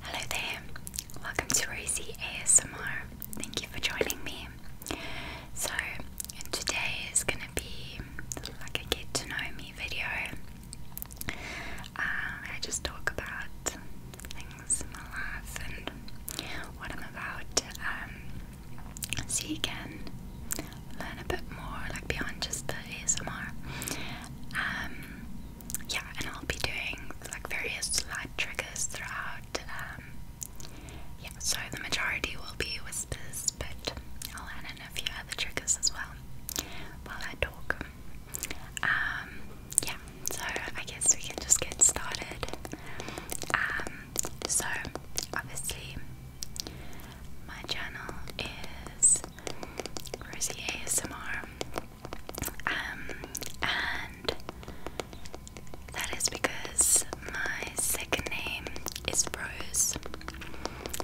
Hello there, welcome to Rosie ASMR. Thank you for joining me. So, today is going to be like a get to know me video. Um, I just talk about things in my life and what I'm about, so you can learn a bit more, like beyond just the ASMR. Um, yeah, and I'll be doing like various light triggers throughout. Um, yeah, so the majority will be whispers, but I'll add in a few other triggers as well while I talk. Um, yeah, so I guess we can just get started. Um, so obviously, my channel is Rosie ASMR. Um, and that is because my second name is Rose.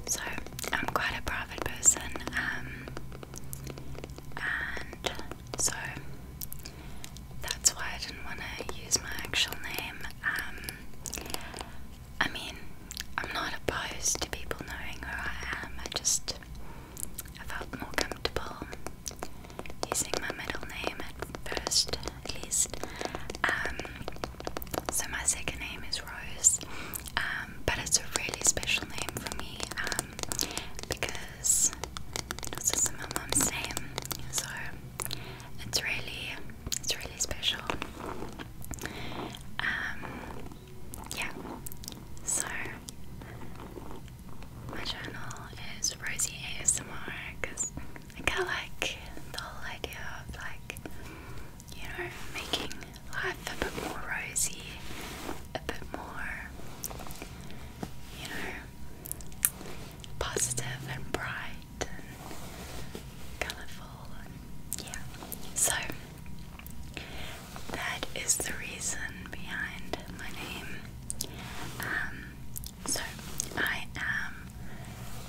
So I'm quite a private person. Um, and so that's why I didn't want to use my actual name. Um, I mean, I'm not opposed to people knowing who I am. I just I felt more comfortable using my middle name at first, at least. Um, so my second name is Rose, um, but it's a really special name for me um, because it's my mom's name, so it's really, it's really special yeah, so my channel is Rosie ASMR because like, I like the whole idea of like, you know, making life a bit more rosy, a bit more, you know, positive and bright and colourful yeah, so that is the reason behind my name. Um, so, I am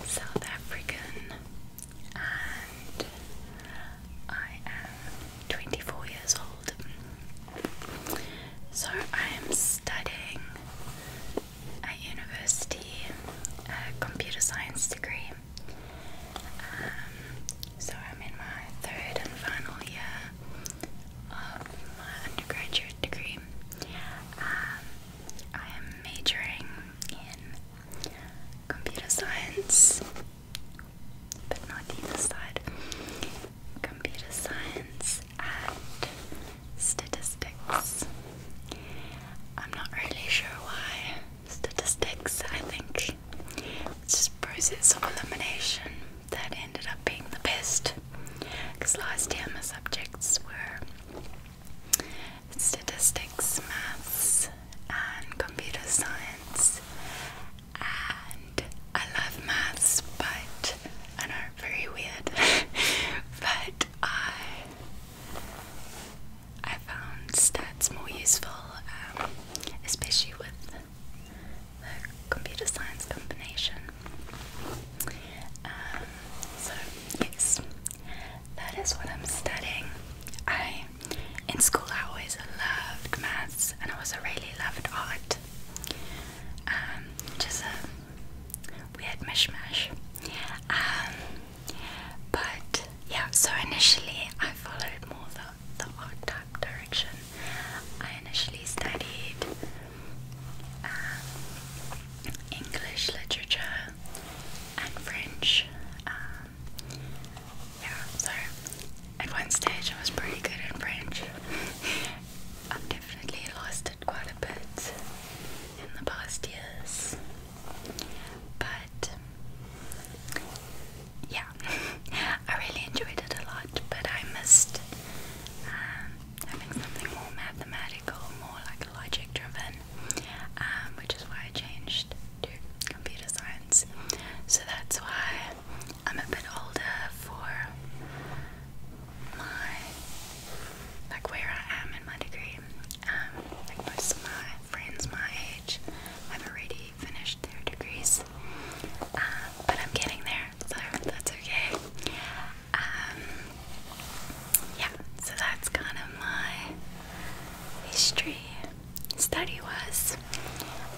South African and I am 24 years old. So, I am studying at university a computer science degree. Um, so I'm in my third and final year of my undergraduate degree. Um, I am majoring in computer science, but not either side. Computer science and statistics. I'm not really sure why. Statistics, I think. It's just process of elimination that ended up being the best because last year my subjects were statistics, maths, and computer science. And I love maths, but I know, very weird. but I I found stats more useful, um, especially with computer science combination. Um, so yes, that is what I'm studying. I in school I always loved maths and I also really loved art. Um, just a weird mishmash. Um, but yeah, so initially I followed more though the odd type direction. I initially studied um, English literature and French. Um, yeah, so at one stage I was pretty good in French. I've definitely lost it quite a bit in the past years. But yeah, I really enjoyed it a lot, but I missed um, having something more mathematical, more like logic driven, um, which is why I changed to computer science. So that's why I'm a bit older for my, like where I am in my degree. Um, like most of my friends my age have already finished their degrees, uh, but I'm getting there, so that's okay. Um, yeah, so that's kind of my history study was,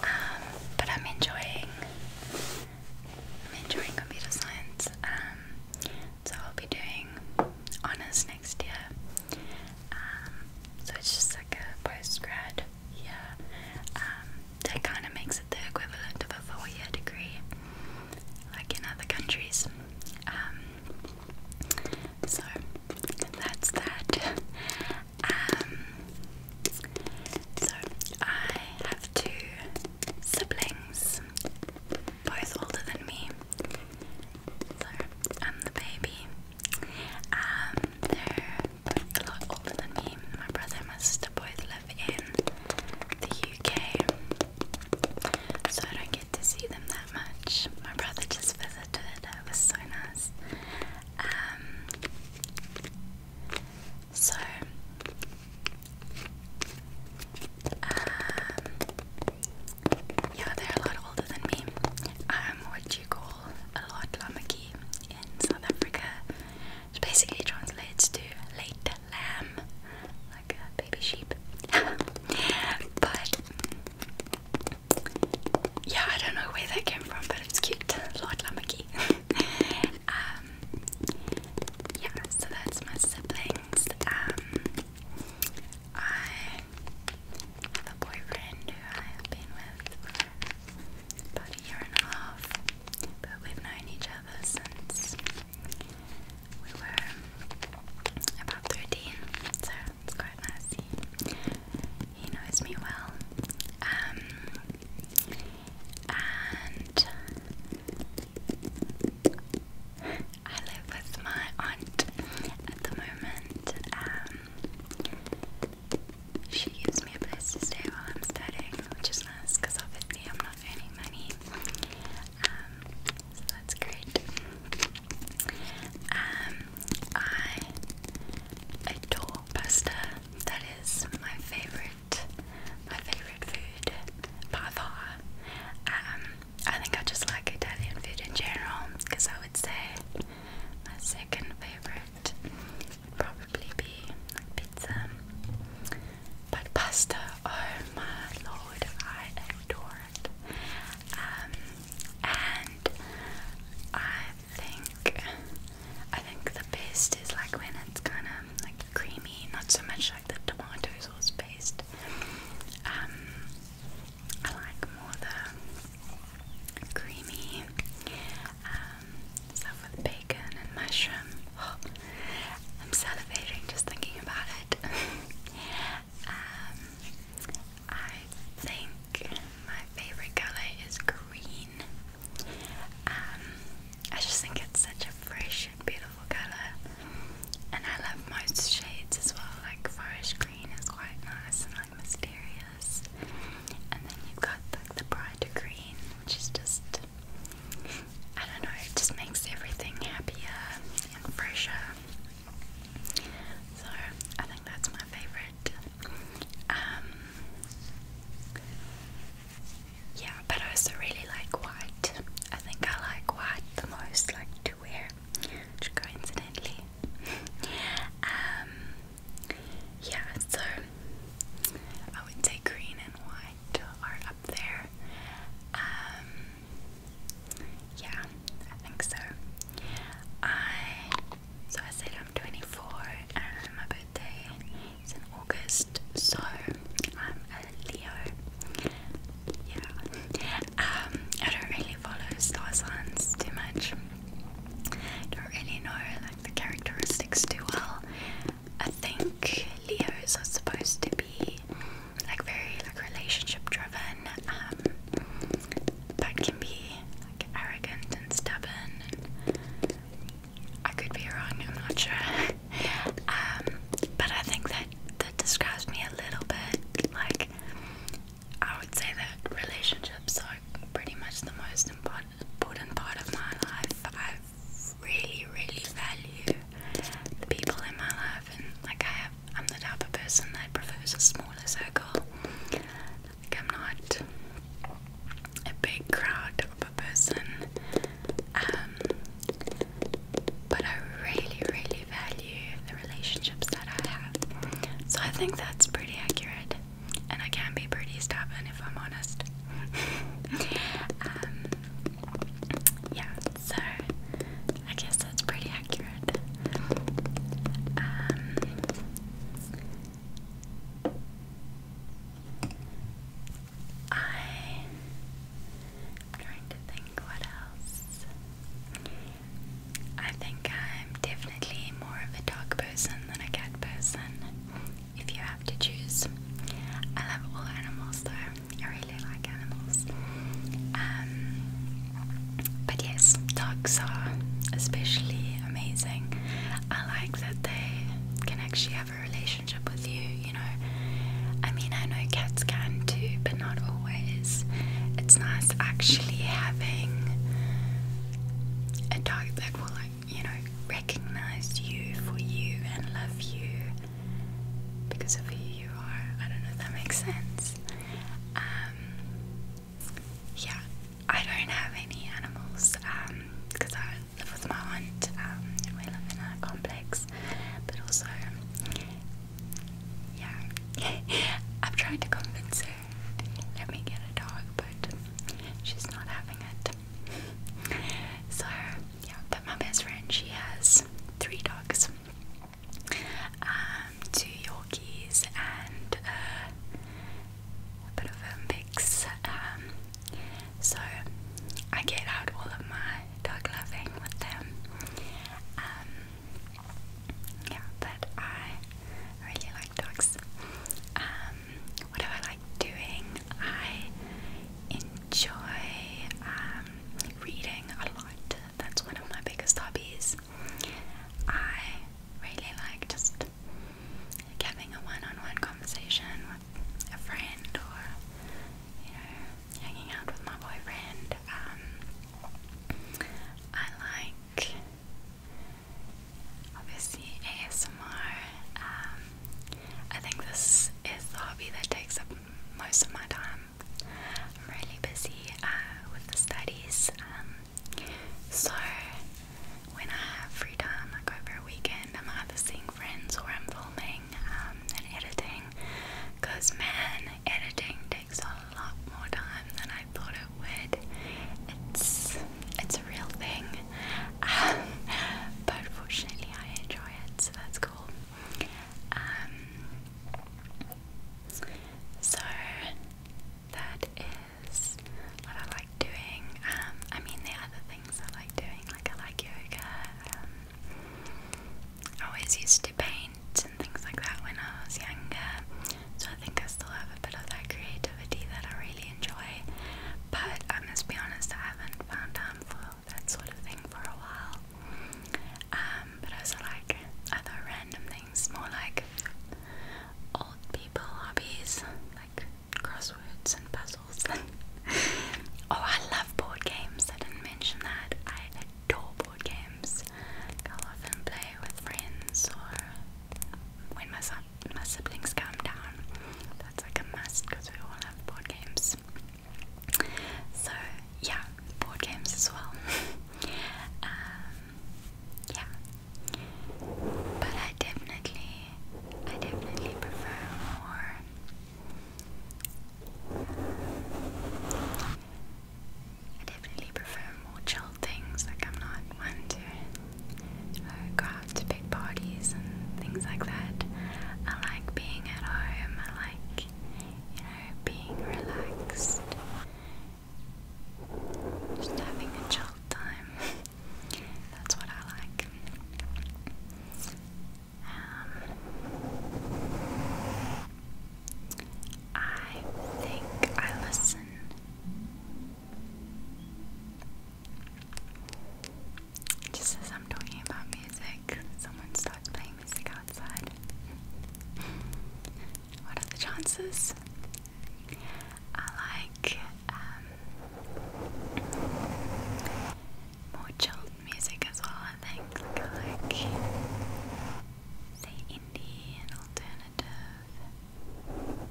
um, but I'm enjoying. enjoying computer science, um, so I'll be doing honors next year. so it's just like a post grad yeah, um, that kind of makes it the equivalent of a four year degree, like in other countries. Um, so that's that. Um, so I have two siblings, both older than me. So I'm the baby. they're a lot older than me. My brother and my sister both live in the UK, so I don't get to see them that much. My brother just visited, it was so nice. Um, so, um, yeah, they're a lot older than me. I'm what you call a lot lamaki in South Africa which basically translates to late lamb, like a baby sheep. but yeah, I don't know where that came from, but it's cute. Lord Lamaki. Um, yeah, so that's my siblings. Um, I have a boyfriend who I have been with about a year and a half but we've known each other since we were about 13, so it's quite nice. He, knows me well. Um, and I live with my aunt at the moment. Um, she gives me a place to stay while I'm studying, which is nice because obviously I'm not earning money. Um, so that's great. Um, I adore pasta. That is my favorite, my favorite food by far. Um, I think I just like Italian food in general because I would say my second favorite probably be like pizza, but pasta, oh my lord, I adore it. Um, and I think I think the best is like when it's kind of like creamy, not so much like the tomato sauce based. Um, I like more the creamy um, stuff with bacon and mushroom. I'm salivating just thinking about it. Um, I think my favorite color is green. Um, I just think it's such a fresh and beautiful color, and I love most shades as well. Like forest green is quite nice and like mysterious, and then you've got like the bright to green, which is just, I don't know, it just makes everything happier and fresher. So I think that's my favorite. Um, yeah, but I also really like white. I think I like white the most, like to wear, which coincidentally. Um, yeah, so I would say green and white are up there. Um, yeah, I think so. I so I said I'm 24 and my birthday is in August, so I'm a Leo. Yeah, um, I don't really follow star signs too much. Don't really know like the characteristics too well. I think Leos are supposed to be like very like relationship driven, um, but can be like arrogant and stubborn. And I could be wrong. I'm not sure. um, but I think that that describes me a little bit. Like I would say that relationships are pretty much the most important part of my life really, really value the people in my life, and like I have, I'm the type of person that prefers a smaller circle. Like I'm not a big crowd of a person, um, but I really, really value the relationships that I have. So I think that's pretty accurate and I can be pretty stubborn if I'm honest. Um, yeah, so I guess that's pretty accurate. Um, I'm trying to think what else. I think I'm definitely more of a dog person than a cat person if you have to choose. I love all animals though. I really like animals. Um, but yes, dogs are especially amazing. I like that they can actually have a relationship with you, you know. I mean, I know cats can too, but not always. It's nice actually having a dog that will like you know, recognize you for you and love you because of who you are. I don't know if that makes sense. Um, yeah, I don't have any animals because um, I live with my aunt um, we live in a complex, but also, yeah, I've tried to convince her let me get a dog, but she's not having it. so yeah, but my best friend she has three dogs, um, two Yorkies and uh, a bit of a mix. Um, so I get out all of my dog loving with them. Um, yeah, but I really like dogs. Um, what do I like doing? I enjoy um, reading a lot. That's one of my biggest hobbies. I really like just having a one-on-one conversation with a friend or you know hanging out with my boyfriend. Um, I like obviously ASMR. Um, I think this is the hobby that takes up most of my time. I'm really busy uh, with the studies, um, so when I have free time, I go over a weekend, I'm either seeing friends or I'm filming um, and editing. Because, man, editing takes a lot more time than I thought it would. It's, it's a real thing. but fortunately, I enjoy it, so that's cool. Um, so that is what I like doing. Um, I mean, there other things I like doing, like I like yoga. Um, I always used to paint and things like that when I was younger, so I think I still have a bit of that creativity that I really enjoy. But I must be honest, I haven't found time for that sort of thing for a while. Um, but also like other random things, more like old people hobbies, like crosswords and puzzles. oh, I love board games. I didn't mention that. I adore board games. I'll often play with friends or when my, my siblings come down that's like a must because we all have board games. So yeah, board games as well. Um, yeah, but I definitely, I definitely prefer more. I definitely prefer more chill things. Like I'm not one to uh, go to big parties and things like that. I like being at home. I like, you know, being relaxed. Just having a chill time. That's what I like. Um, I think I listen just as I'm talking about music, someone starts playing music outside. what are the chances? I like um, more chilled music as well, I think. like, say, indie and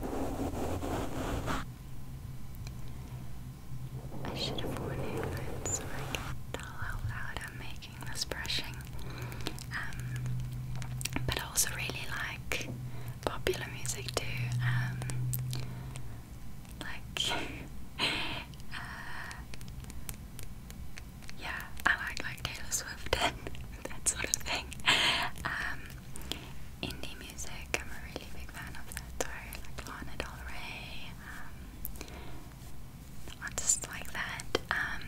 alternative. I should have worn headphones so I can loud I'm making this brushing. Um, but I also really like popular music too. Um, like, uh, yeah, I like like Taylor Swift and that sort of thing. Um, indie music. I'm a really big fan of that though, like Lana Del Rey, um, artists like that. Um,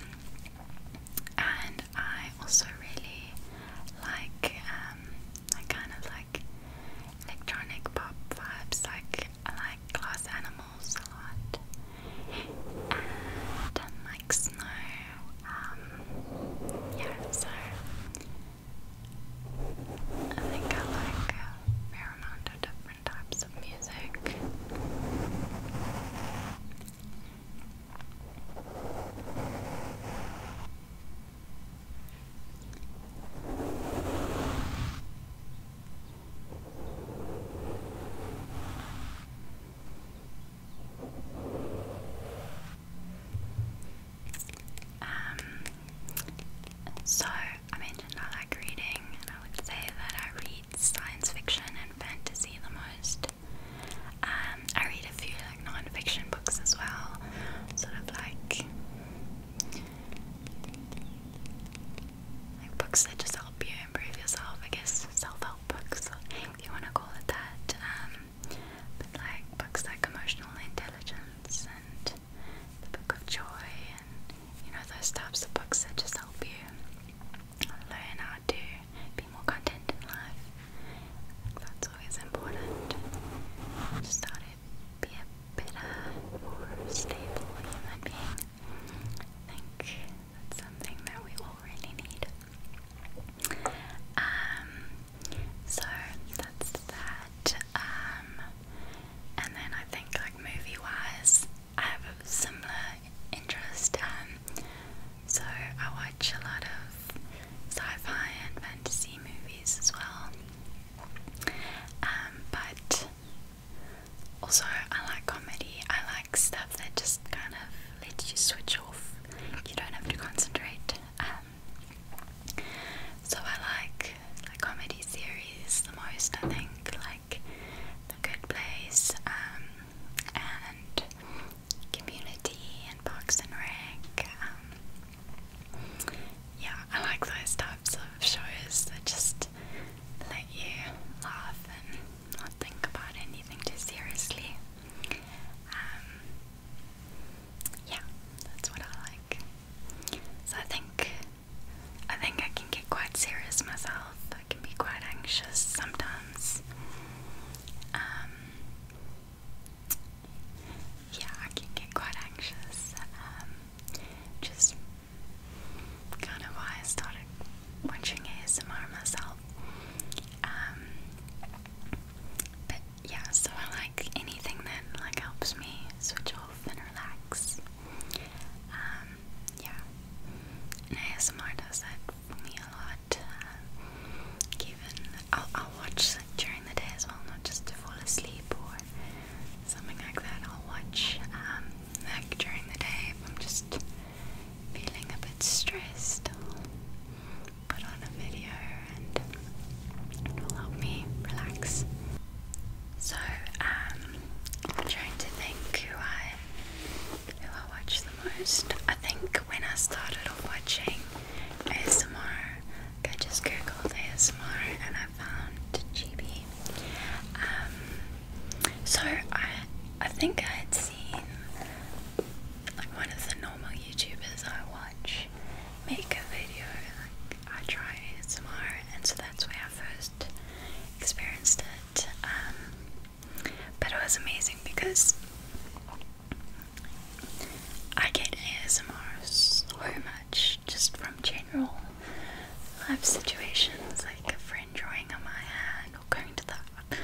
and I also really like, um, I kind of like electronic pop vibes, like I like glass animals a lot. And, like snow. yeah, so I think I like fair amount of different types of music. Um, so I mentioned I like reading, and I would say that I read science fiction and fantasy the most. Um, I read a few like non-fiction books as well, sort of like books that just help you improve yourself. I guess self-help books, if you want to call it that. Um, but like books like emotional intelligence and the Book of Joy, and you know, those types of books that just help you learn how to be more content in life. That's always important. Just how to be a better, more stable human being. I think that's something that we all really need. Um, so that's that. Um, and then I think like movie wise, I have similar interest. Um, so I watch a lot of sci-fi and fantasy movies as well. Um, but also I like comedy. I like stuff that just kind of lets you switch off. You don't have to concentrate so I like comedy series the most. I think like The Good Place um, and Community and Parks and Rec. Um, yeah, I like those types of shows that just let you laugh and not think about anything too seriously. Um, yeah, that's what I like. So I think I think I can get quite serious myself. I can be quite anxious sometimes. Um, yeah, I can get quite anxious. Um, just kind of why I started watching ASMR myself. Um, but yeah, so I like anything that like helps me switch off and relax. Um, yeah. ASMR does that for me a lot. Uh, I'll, I'll watch like, during the day as well, not just to fall asleep or something like that. I'll watch um, like during the day if I'm just feeling a bit stressed. I'll put on a video and it will help me relax. So, um, i trying to think who I who I watch the most. I think when I started watching ASMR, I just googled ASMR and I found Chibi. Um, so I I think I had seen like one of the normal YouTubers I watch make a video I try ASMR, and so that's where I first experienced it. Um, but it was amazing because I get ASMR so much just from general life situations, like a friend drawing on my hand or going to the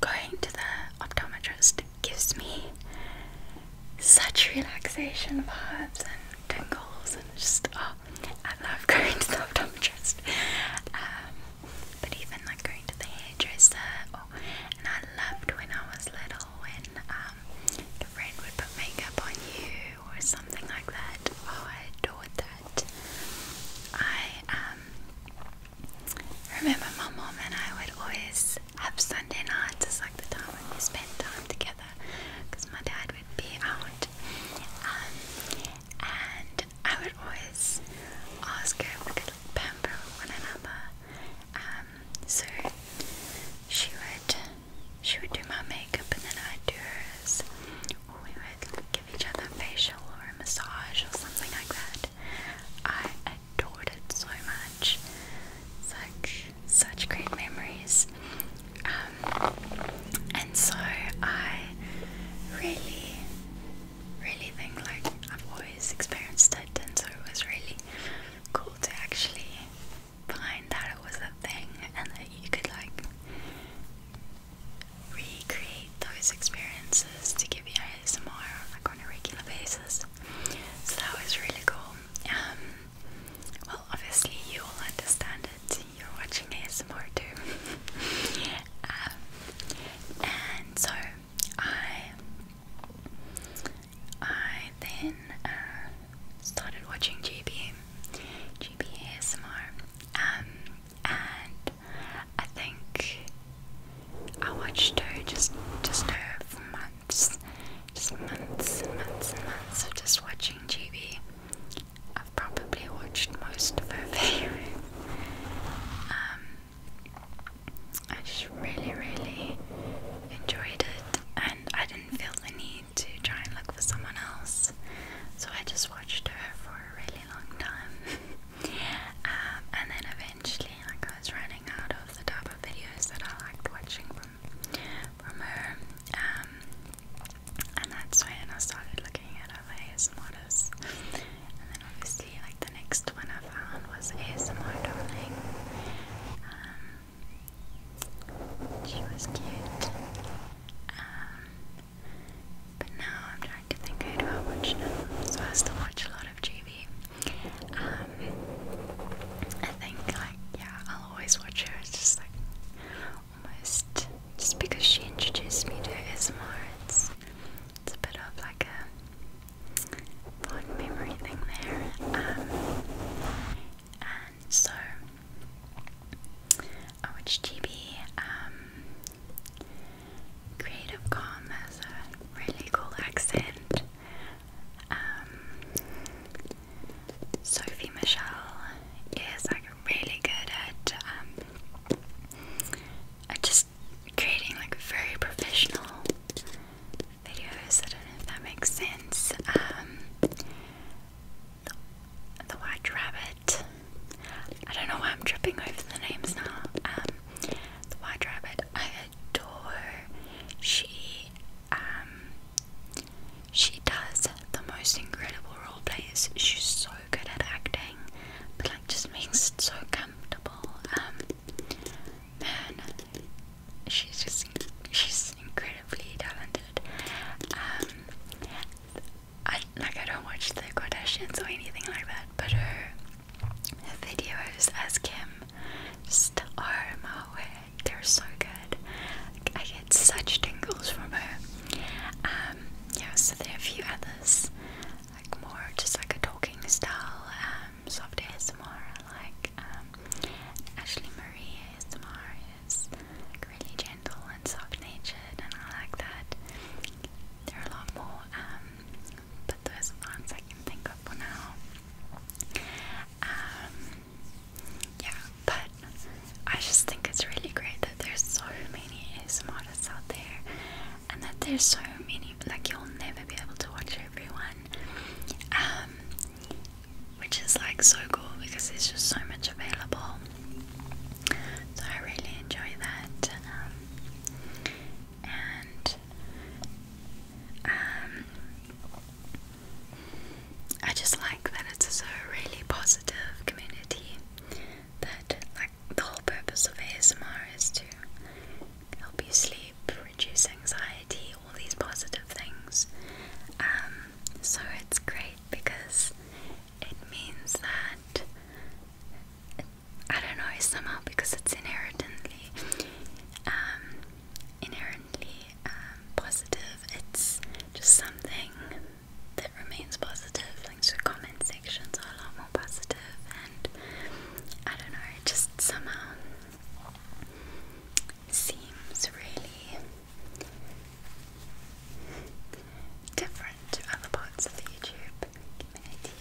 going to the optometrist gives me such relaxation vibes tingles and just oh, I love going to the optometrist. Um, but even like going to the hairdresser, and I loved when I was little when um, the friend would put makeup on you or something like that. Oh, I adored that. I um, remember my mom and I would always have Sunday nights. just like the time when we spent time together because my dad would be out. Um, and I would always ask her if we could like, pamper one another. Um, so she would she would do my makeup and then I'd do hers. Or we would give each other a facial or a massage or something like that. I adored it so much. It's such great memories. Um, and so I really, really think like I've always experienced it, and so it was really cool to actually find that it was a thing and that you could like recreate those experiences to give you ASMR like on a regular basis. So that was really cool. Um, well, obviously, you will understand it. You're watching ASMR too. Um, and so I, I then uh, started watching GB, GB ASMR, um, and I think I watched her just, just her for months, just months and months and months of just watching GB. I've probably watched most of her videos. Um, I just really, really enjoyed it, and I didn't feel the need to try and look for someone else, so I just watched her for a really long time. Um, and then eventually, like I was running out of the type of videos that I liked watching from from her, um, and that's when I started looking at other models. And then obviously, like the next one I found was ASMR Darling. Um, she was cute. Um, but now I'm trying to think who I watch So I still watch a lot of GV. Um, I think like yeah, I'll always watch her. It's just like almost just because she introduced me to ASMR. It's, a bit of like a fond memory thing there. Um, and so I watched um, Creative Calm has a really cool accent. Um, Sophie Michelle is like really good at um, at just creating like very professional videos. I don't know if that makes sense. Um, the, White Rabbit. I don't know why I'm tripping over the names now. Um, the White Rabbit. I adore. She um, she does the most incredible role plays. She's so good at acting, but like just makes it so comfortable. Um, man, she's just she's incredibly talented. Um, I like I don't watch the Kardashians or anything like that, but her videos as Kim just are my way. They're so good. I get such tingles from her. Um, yeah, so there are a few others, like more just like a talking style, um, soft ASMR. I like um, Ashley Marie ASMR is really gentle and soft natured, and I like that. There are a lot more, um, but those are the ones I can think of for now. Um, yeah, but I just think it's really great that there's so many ASMRists out there and that there's so many, like you'll never be able to watch everyone um, which is like so cool because there's just so much available so I really enjoy that um, and um, I just like that it's a really positive community that like the whole purpose of ASMR is to help you sleep, reduce anxiety, all these positive things. Um, so it's great because it means that I don't know somehow because it's inherently, um, inherently um, positive. It's just something that remains positive. Links to comment sections are a lot more positive, and I don't know, it just somehow seems really different to other parts of the YouTube community.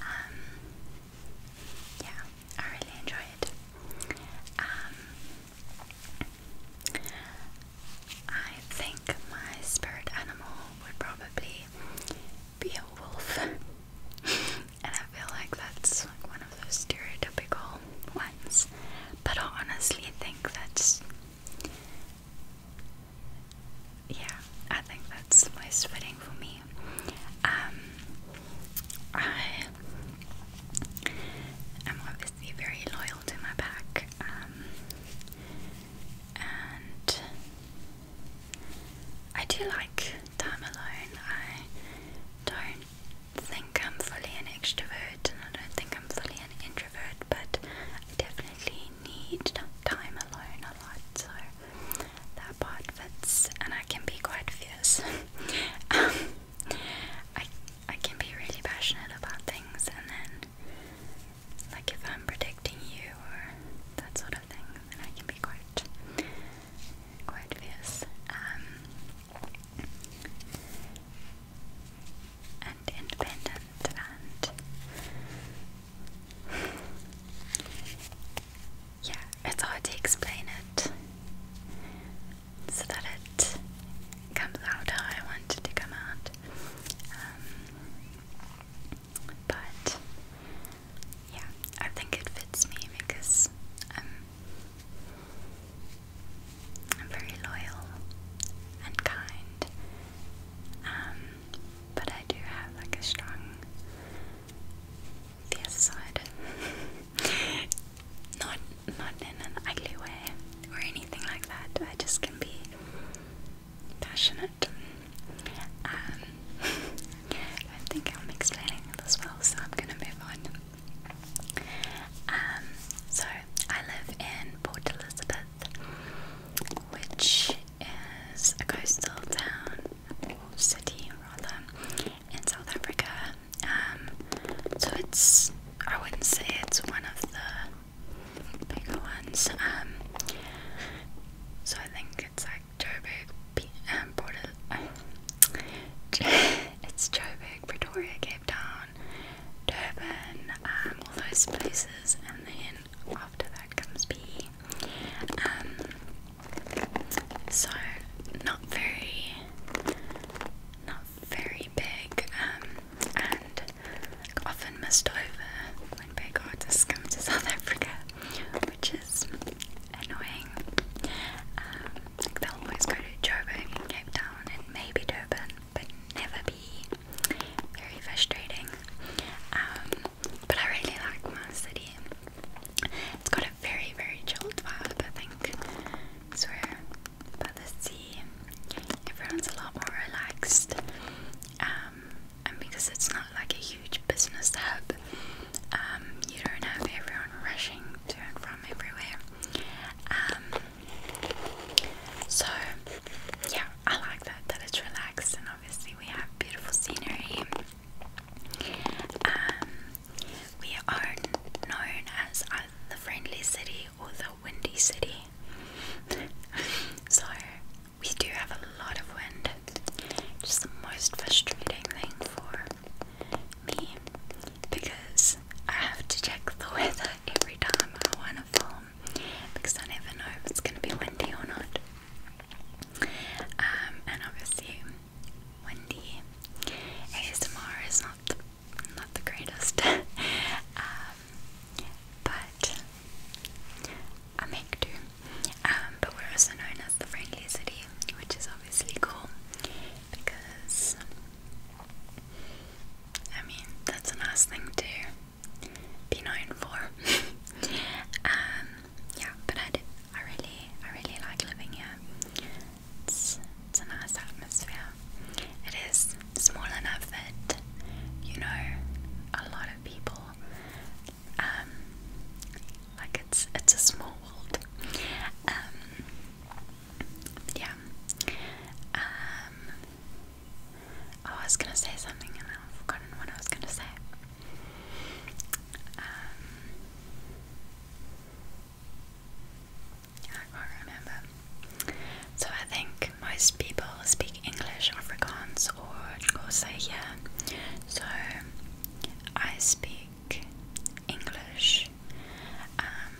Um, yeah, I really enjoy it. Um, I think my spirit animal would probably be a wolf. and I feel like that's like one of those stereotypical ones. But I honestly think that's yeah, I think that's most fitting for me. Um I am obviously very loyal held my back, um, and I do like time alone. I don't think I'm fully an extrovert, and I don't think I'm fully an introvert, but I definitely need time alone a lot. So that part fits, and I can be quite fierce. Um, I can be really passionate about things, and then, like, if I'm predicting you or that sort of thing, then I can be quite, quite fierce. Um, and independent, and yeah, it's hard to explain it so that it comes out how I wanted to come out. Um, but yeah, I think it fits me because I'm very loyal and kind. Um, but I do have like a strong fierce side. not not in an ugly way or anything like that. I just can be passionate. Um, I think I'm explaining this well, so I'm gonna move on. Um, so I live in Port Elizabeth, which is a coastal town city rather in South Africa. Um, so it's I wouldn't say it's one of the bigger ones. Um, so I think it's like Joburg, P um, Port it's Joburg, Pretoria, Cape Town, Durban, um, all those places, and then after that comes B. Um, so not very, very big um, and often missed over when big artists come to South Africa, which is annoying. Um, they'll always go to Joburg Cape Town and maybe Durban, but never be very frustrating. Um, but I really like my city. It's got a very, very chilled vibe, I think. So we're by the sea. Everyone's a lot more relaxed. Um, and because it's not like a huge business hub, um, you don't have everyone rushing to and from everywhere. Um, so yeah, I like that that it's relaxed, and obviously we have beautiful scenery. we are known as uh, the friendly city or the windy city so we do have a lot of wind. Just the most frustrating thing for me because I have to check the weather every time I want to film because I never know if it's going to be windy or not. Um, and obviously, windy ASMR is not not the greatest. Um, but I make do. but we're also known as the friendly city, which is obviously cool because I mean that's a nice thing to be known for. Um, yeah, but I, I really, I really like living here. It's a nice atmosphere. It is small enough that you know a lot of people. Um, like it's it's a small world. Um, yeah. Um, I was gonna say something and I've forgotten what I was gonna say. I can't remember. So I think most people speak English, Afrikaans, or Xhosa So I speak English um,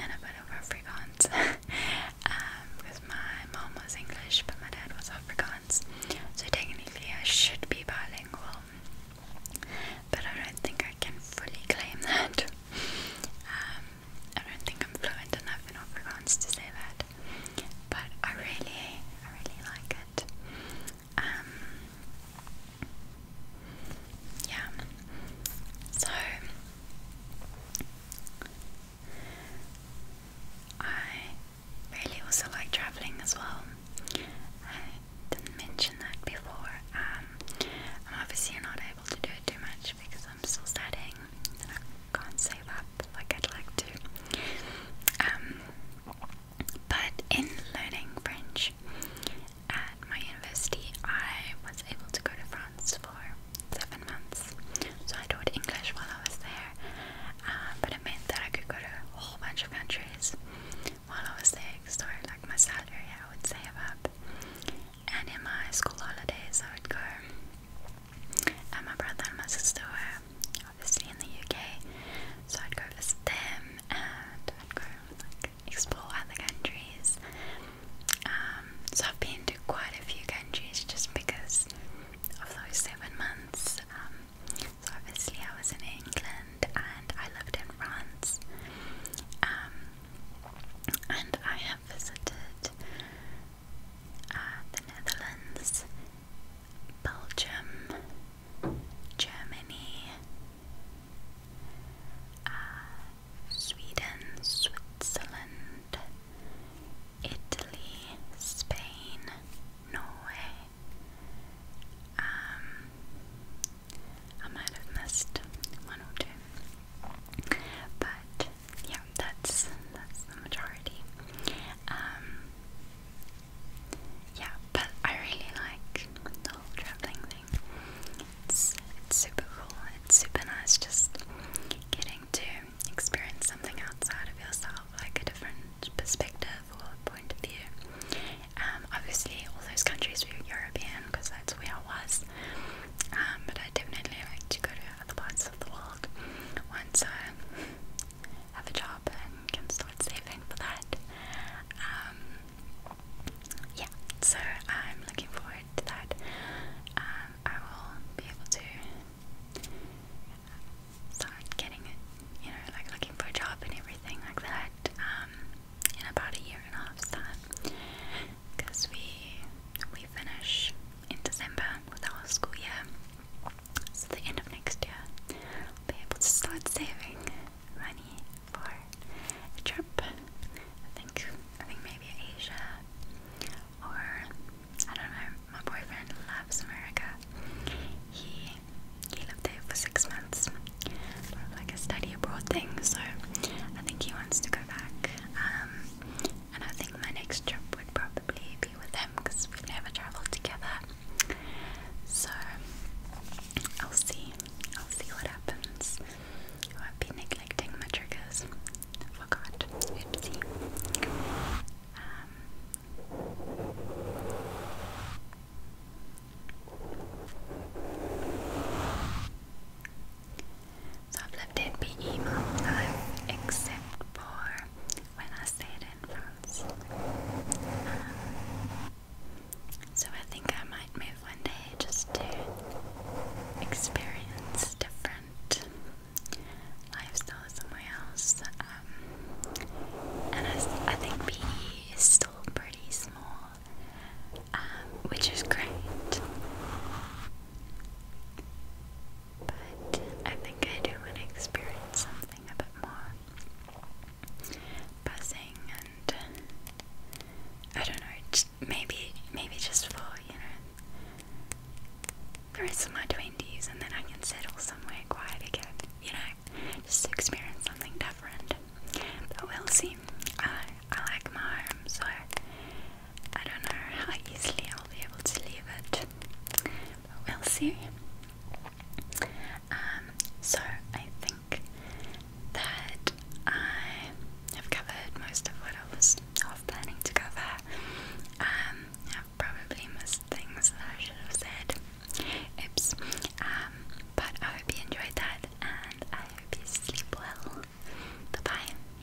and a bit of Afrikaans um, because my mom was English, but my dad was Afrikaans. So technically, I should be bilingual, but I don't think I can fully claim that. Um, I don't think I'm fluent enough in Afrikaans to say that, but I really, I really like it. Um, yeah. So I really also like traveling as well. I didn't mention that before. Um, I'm obviously not able to do it too much because I'm still studying and I can't save up like I'd like to. Um, but in learning French at my university, I was able to go to France for seven months. So I taught English while I was there, uh, but it meant that I could go to a whole bunch of countries while I was there. So, like my salary, I would save up and in my school holidays I would go and my brother and my sister were obviously in the UK so I'd go visit them and I'd go like explore other countries um, so I've been to quite a few countries just because of those seven months um, so obviously I was in England and I lived in France um, and I have visited uh, the Netherlands, Belgium, Germany, uh, Sweden, Switzerland, Italy, Spain, Norway. Um, I might have missed one or two, but yeah, that's that's the majority. Um, yeah, but I really like the traveling thing. It's it's super cool. It's super nice just getting to experience something outside of yourself, like a different perspective or point of view. Um, obviously, all those countries were European because that's where I was. Um, but I definitely like to go to other parts of the world once I have a job and can start saving for that. Um, yeah, so I'm looking forward to that. Um, I will be able to start getting it, you know, like looking for a job and everything like that um, in about a year and a half's time because we we finish in December with our school year. So the end of next year, be able to start saving money for a trip. I think I think maybe Asia or I don't know. My boyfriend loves America. He he lived there for six months, like a study abroad thing. So I think he wants to go back. Um, and I think my next trip would probably be with them because we've never traveled together. So I'll see. I'll see what happens. I won't neglecting my triggers. forgot. Oopsie. Um, so I've left it be even time except for when I stayed in France. so I think I might move one day just to experience different lifestyle somewhere else. Um, and I, think PE is still pretty small, um, which is great. But I think I do want to experience something a bit more buzzing and I don't know, maybe maybe just for, you know, the rest of my twenties and then I can settle somewhere quiet again, you know, just experience something different. But we'll see. I, like my home, so I don't know how easily I'll be able to leave it, but we'll see. Um, so I think that I have covered most of what I was planning to cover. Um, I've probably missed things that I should have said. Oops. Um, but I hope you enjoyed that, and I hope you sleep well. Bye